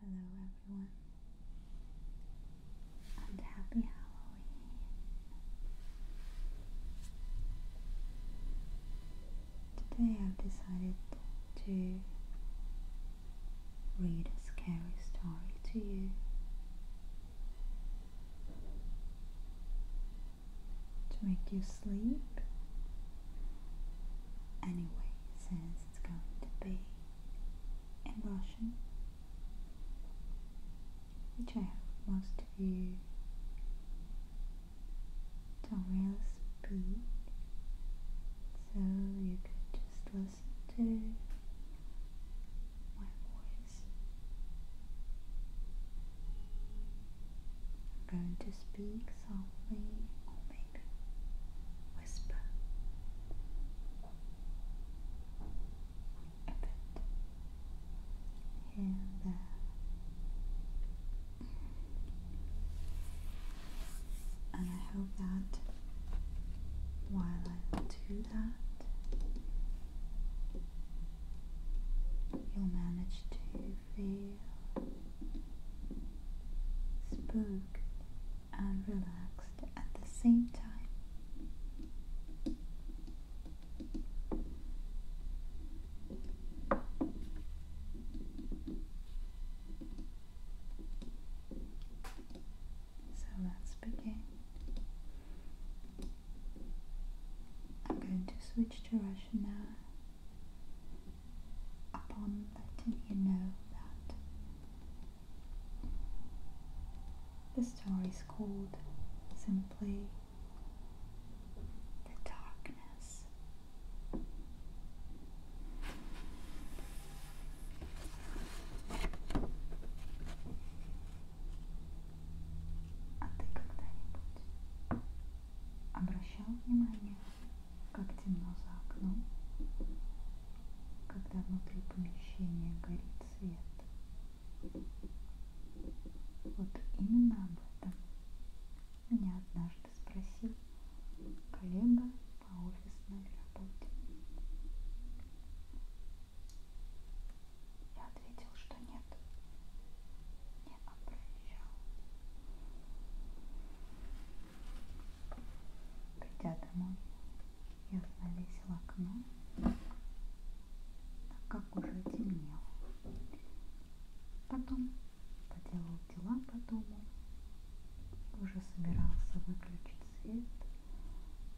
Hello everyone and happy Halloween. Today I've decided to read a scary story to you. To make you sleep anyway, since it's going to be in Russian, which I hope most of you don't really speak, so you could just listen to my voice. I'm going to speak softly, whisper a bit here and there. And I hope that while I do that, you'll manage to feel spooked and relaxed at the same time. So let's I'm going to switch to Russian now upon letting you know that the story is called simply The Darkness. А внимание как темно за окном, когда внутри помещения горит свет. Вот именно об этом меня однажды спросил коллега по офисной работе. Я ответил, что нет, не обращал. Придя домой, я занавесила окно, так как уже темнело. Потом поделал дела по дому, уже собирался выключить свет,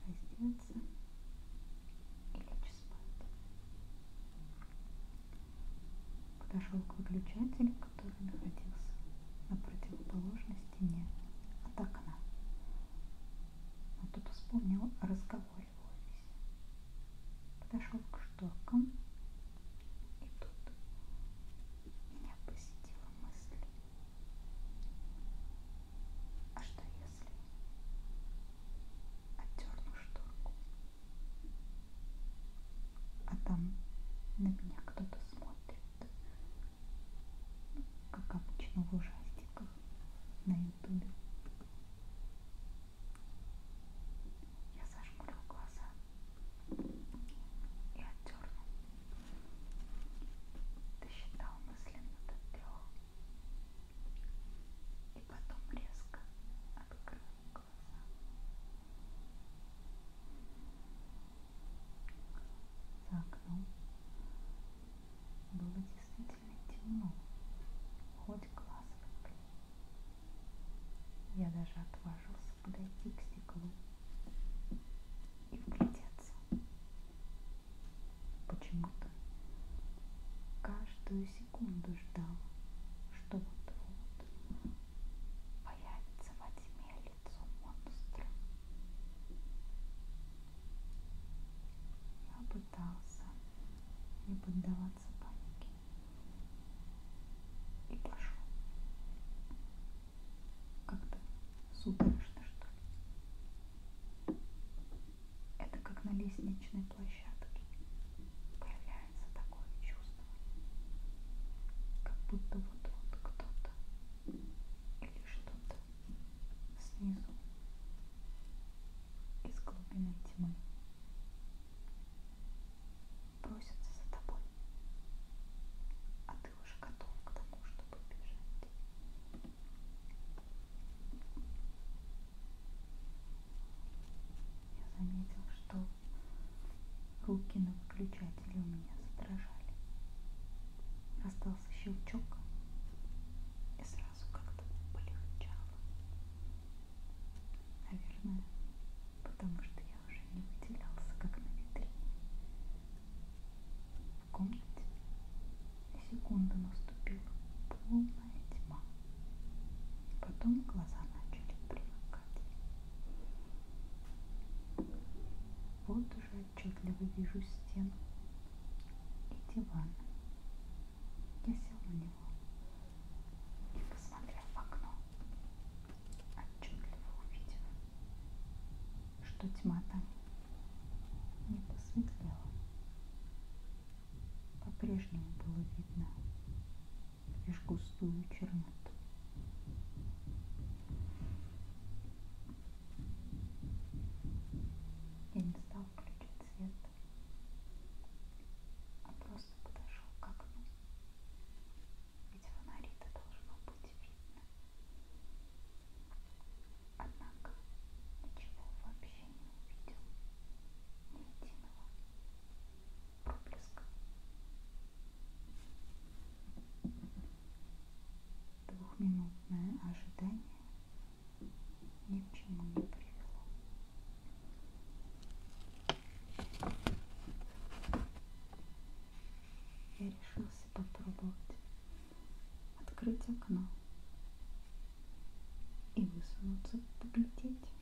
раздеться и лечь спать. Подошел к выключателю, который который находился на противоположной стене от окна. Но тут вспомнил разговор в офисе. Подошел к шторкам, и тут меня посетила мысль. А что если отдерну шторку? А там на меня кто-то смотрит как обычно в ужастиках на ютубе. Я зажмурил глаза и отдернул. Досчитал мысленно до трех. И потом резко открыл глаза. За окном ну. было действительно темно, хоть глаз выкли. Я даже отважился подойти к стеклу и вглядеться. Почему-то каждую секунду ждал, что вот-вот появится во тьме лицо монстра. Я пытался не поддаваться панике и пошел. Как-то судорожно, что ли. Это как на лестничной площадке появляется такое чувство, как будто вот-вот кто-то или что-то снизу из глубины тьмы просится за тобой, а ты уже готов к тому, чтобы бежать. Я заметил, что руки на выключателе Держатели у меня задрожали. Раздался щелчок и сразу как-то полегчало. Наверное, потому что я уже не выделялся, как на витрине. В комнате на секунду наступила полная тьма. Потом глаза начали привыкать. Вот уже отчетливо вижу стену и диван. Я сел на него и, посмотрев в окно, отчетливо увидел, что тьма там не посветлела. По-прежнему было видно лишь густую черноту. Я не стал включать свет, а просто подошел к окну. Ведь фонари-то должно быть видно. Однако ничего вообще не увидел. Ни единого проблеска. Двухминутное ожидание ни к чему не привело. Я решился попробовать открыть окно и высунуться поглядеть,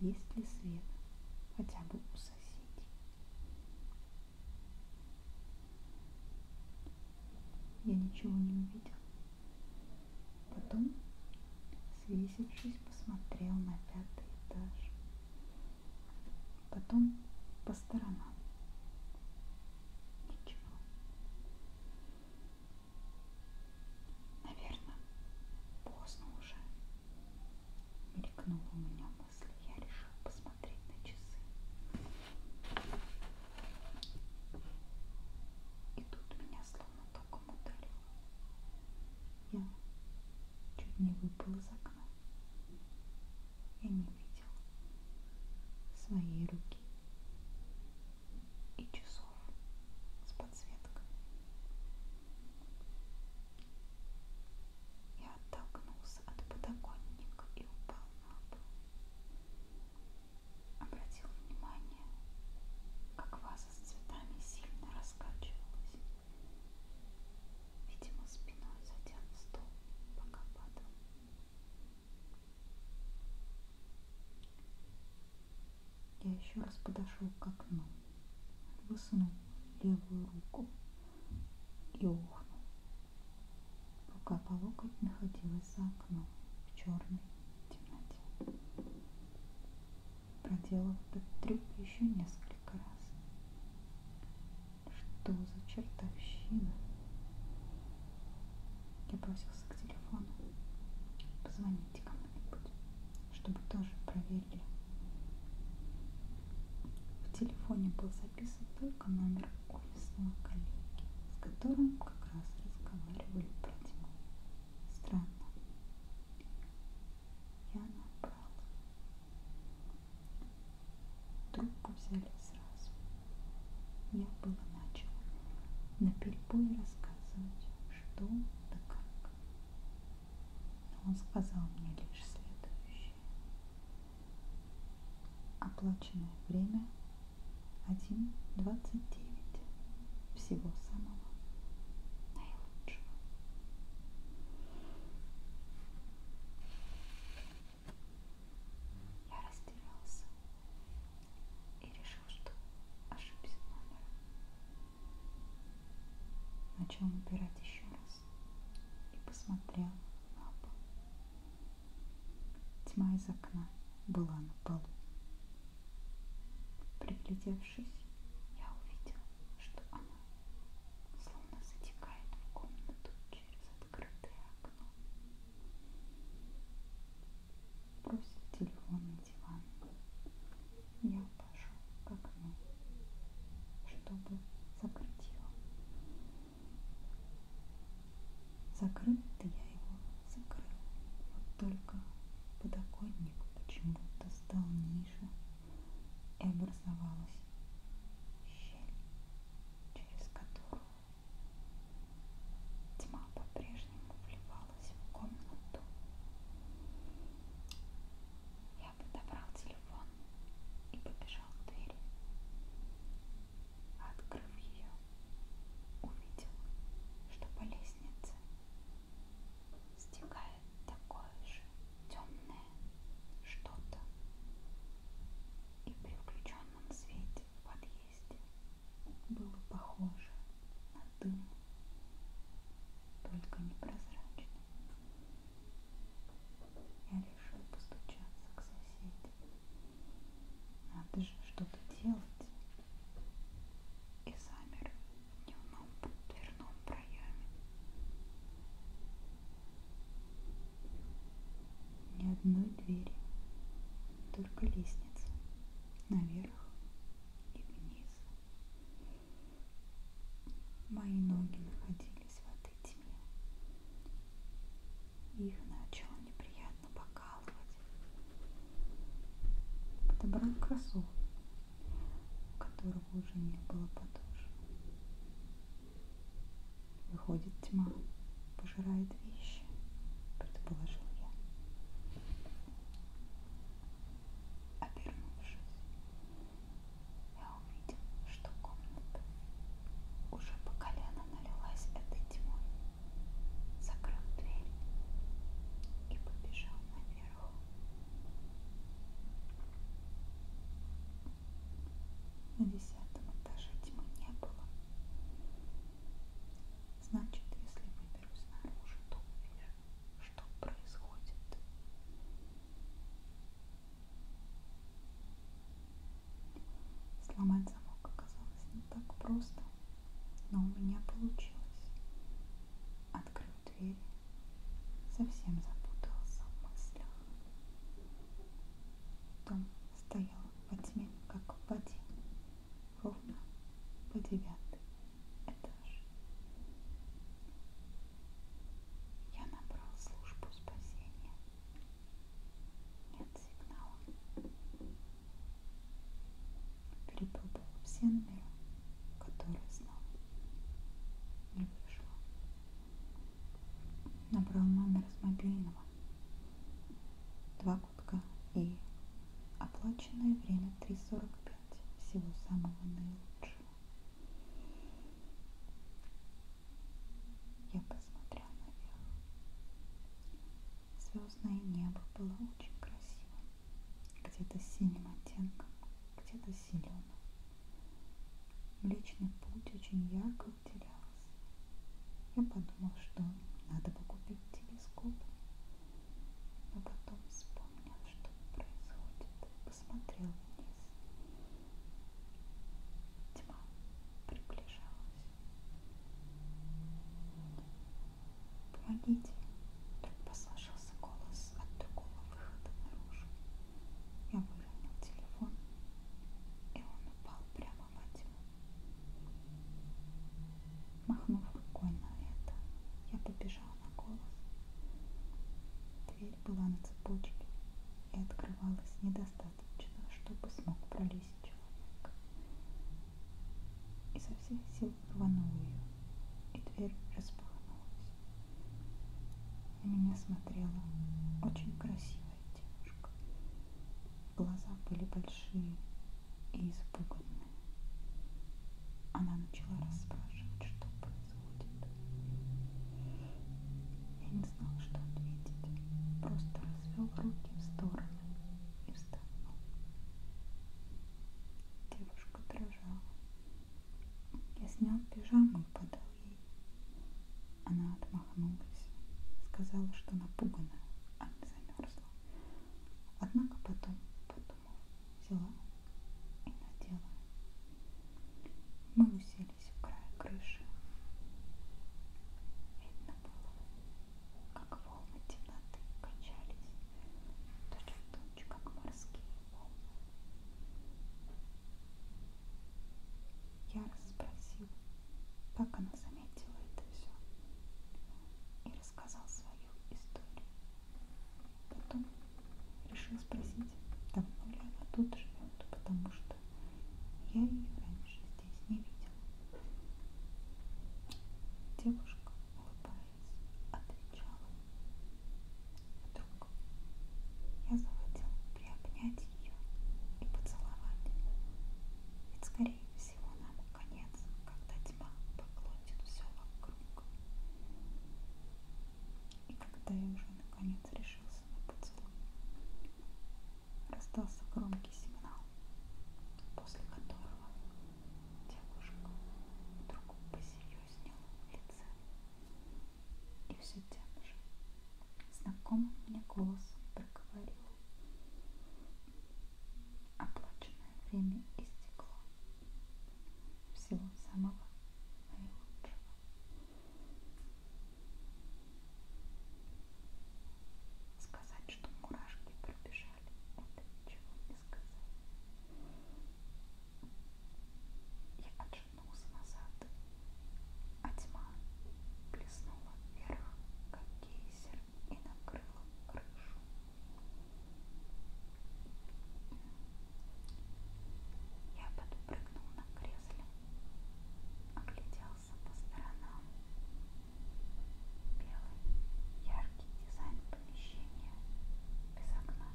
есть ли свет хотя бы у соседей. Я ничего не увидел. Потом, свесившись, посмотрел на пятый этаж. Потом по сторонам. Ничего. Наверное, поздно уже. Мелькнуло у меня мысли я решил посмотреть на часы. И тут меня словно током ударило. Я чуть не выпал из окна. Я не видел своей руки и часов с подсветкой. Я оттолкнулся от подоконника и упал на пол. Обратил внимание, как ваза с цветами сильно раскачивалась. Видимо, спиной задел стол, пока падал. Я еще раз подошел к окну, высунул левую руку и ухнул. Рука по локоть находилась за окном в черной темноте. Проделал этот трюк еще несколько раз. Что за чертовщина? Я бросился к телефону. Позвоните кому-нибудь, чтобы тоже проверили. В телефоне был записан только только номер офисного коллеги, с которым как раз разговаривали про тьму. Странно. Я набрала. Трубку взяли сразу. Я было начала на перебой рассказывать, что да как. Но он сказал мне лишь следующее. Оплаченное время 1.29. Всего самого наилучшего. Я растерялся и решил, что ошибся номером. Начал набирать еще раз и посмотрел на пол. Тьма из окна была на полу. Приглядевшись, я увидела, что она словно затекает в комнату через открытое окно. Бросив телефон на диван, я пошел к окну, чтобы закрыть его Закрыл-то я его, закрыл. Вот только подоконник почему-то стал ниже и образовалась щель, через которую тьма по-прежнему вливалась в комнату. Я подобрал телефон и побежал к двери. А открыв ее, увидел, что по лестнице стекает такое же темное что-то. И при включенном свете в подъезде было похоже на дым, только непрозрачный. Я решил постучаться к соседям. Надо же что-то делать. И замер в дневном дверном проеме. Ни одной двери, только лестница. Наверх и вниз. Мои ноги находились в этой пальцами. Их начал неприятно покалывать. Подобрал кроссовку, у которого уже не было подушек. Выходит тьма, пожирает вещи, предположил я. Обернувшись, я увидел, что комната уже по колено налилась этой тьмой, закрыл дверь и побежал наверх. На десятом этаже тьмы не было. Значит, если выберусь наружу, то увижу, что происходит. Сломать замок оказалось не так просто, но у меня получилось. Открыл дверь, совсем запутался в мыслях. Том стоял во тьме, как в воде, ровно по девятый этаж. Я набрал службу спасения нет сигнала. Перепутал все номера, которые знал. Не вышло. Набрал номер с мобильного. Два гудка и оплаченное время 3.45. Всего самого наилучшего. Я посмотрел наверх. Звездное небо было очень красивым. Где-то с синим оттенком, где-то с зеленым. Млечный путь очень ярко выделялся. Я подумал, что надо бы купить телескоп. Но потом вспомнил, что происходит. Посмотрел вниз Тьма приближалась. Помогите, так послышался голос от другого выхода наружу. Я выронил телефон, и он упал прямо во тьму. Махнув рукой на это, я побежал на голос. Дверь была на цепочке и открывалась недостаточно достаточно, чтобы смог пролезть человек. И со всех сил рванул ее, и дверь распахнулась. На меня смотрела очень красивая девушка. Глаза были большие и испуганные. Она начала расспрашивать, что происходит. Я не не знал, что ответить, просто развел руки в стороны и вздохнул. Девушка дрожала. Я снял пижаму и подал ей. Она отмахнулась, сказала, что напугана, а не замерзла. Однако потом, подумав, взяла и надела. Мы усели вцепились в край крыши. Видно было, как волны темноты качались, точь в точь, как морские волны. Я расспросил, как она заметила это все, и рассказал свою историю. Потом решил спросить, давно ли она тут живет, потому что что я ее раньше здесь не видел. Девушка, улыбаясь, отвечала. Вдруг я захотел приобнять ее и поцеловать. Ведь, скорее всего, нам конец, когда тьма поглотит все вокруг. И когда я уже наконец решился на поцелуй, раздался громкий сигнал, после которого девушка вдруг посерьезнела в лице и все тем же знакомым мне голосом проговорила. Оплаченное время истекло. Всего самого наилучшего. Сказать, что мурашки пробежали, это ничего не сказать. Я отшатнулся назад, а тьма плеснула вверх, как гейзер, и накрыла крышу. Я подпрыгнул на кресле, оглядел озирался по сторонам. Белый, яркий дизайн помещения без окна.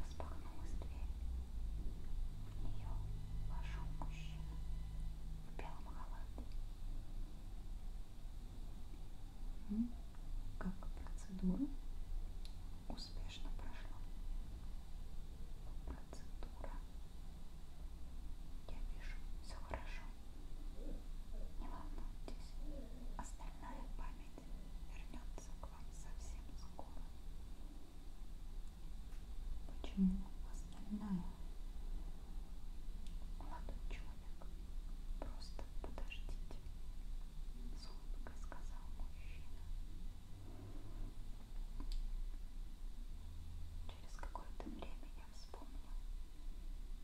Распахнулась дверь. В нее вошел мужчина в белом халате. Ну, как процедура успешно прошла. Процедура я вижу, все хорошо. Не волнуйтесь, остальная память вернется к вам совсем скоро. Почему остальная? Молодой человек, просто подождите. С улыбкой сказал мужчина. Через какое-то время я вспомнил,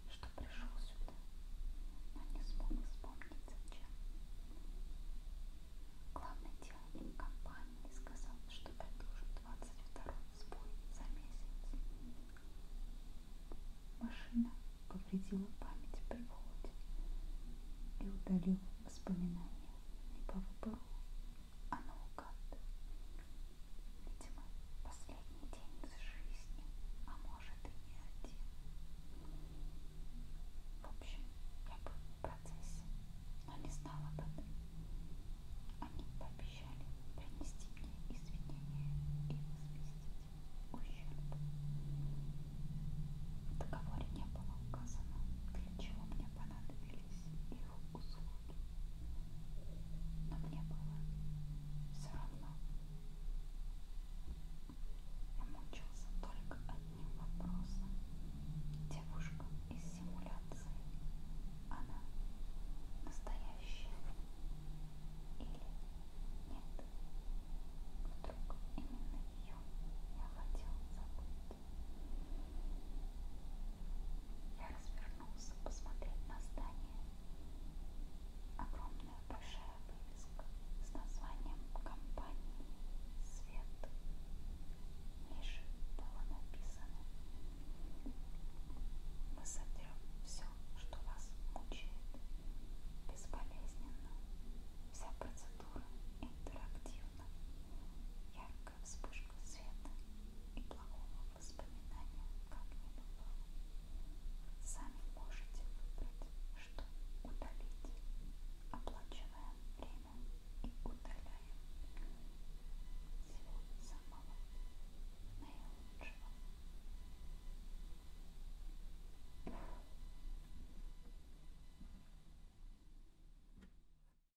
что пришел сюда, но не смог вспомнить зачем. Главный директор компании сказал, что предложит 22 сбой за месяц. Машина повредила память при Володе и удалила воспоминания не по выбору, а наугад. Видимо, последний день из жизни, а может и не один. В общем, я был в процессе, но не знала об этом. Они пообещали принести мне извинения и возместить ущерб. В договоре не было указано, для чего мне понадобились их услуги. Но мне было все равно. Я мучился только одним вопросом. Девушка из симуляции. Она настоящая или нет? Вдруг именно ее я хотел забыть. Я развернулся посмотреть на здание. Огромная большая вывеска с названием компании «Свет». Ниже было написано «Мы сотрем все, что вас мучает, безболезненно». Вся процедура интерактивна. Ярко яркая вспышка света, и плохого воспоминания как не бывало. Сами можете выбрать, что удалить. Оплачиваем время и удаляем всего самого наилучшего.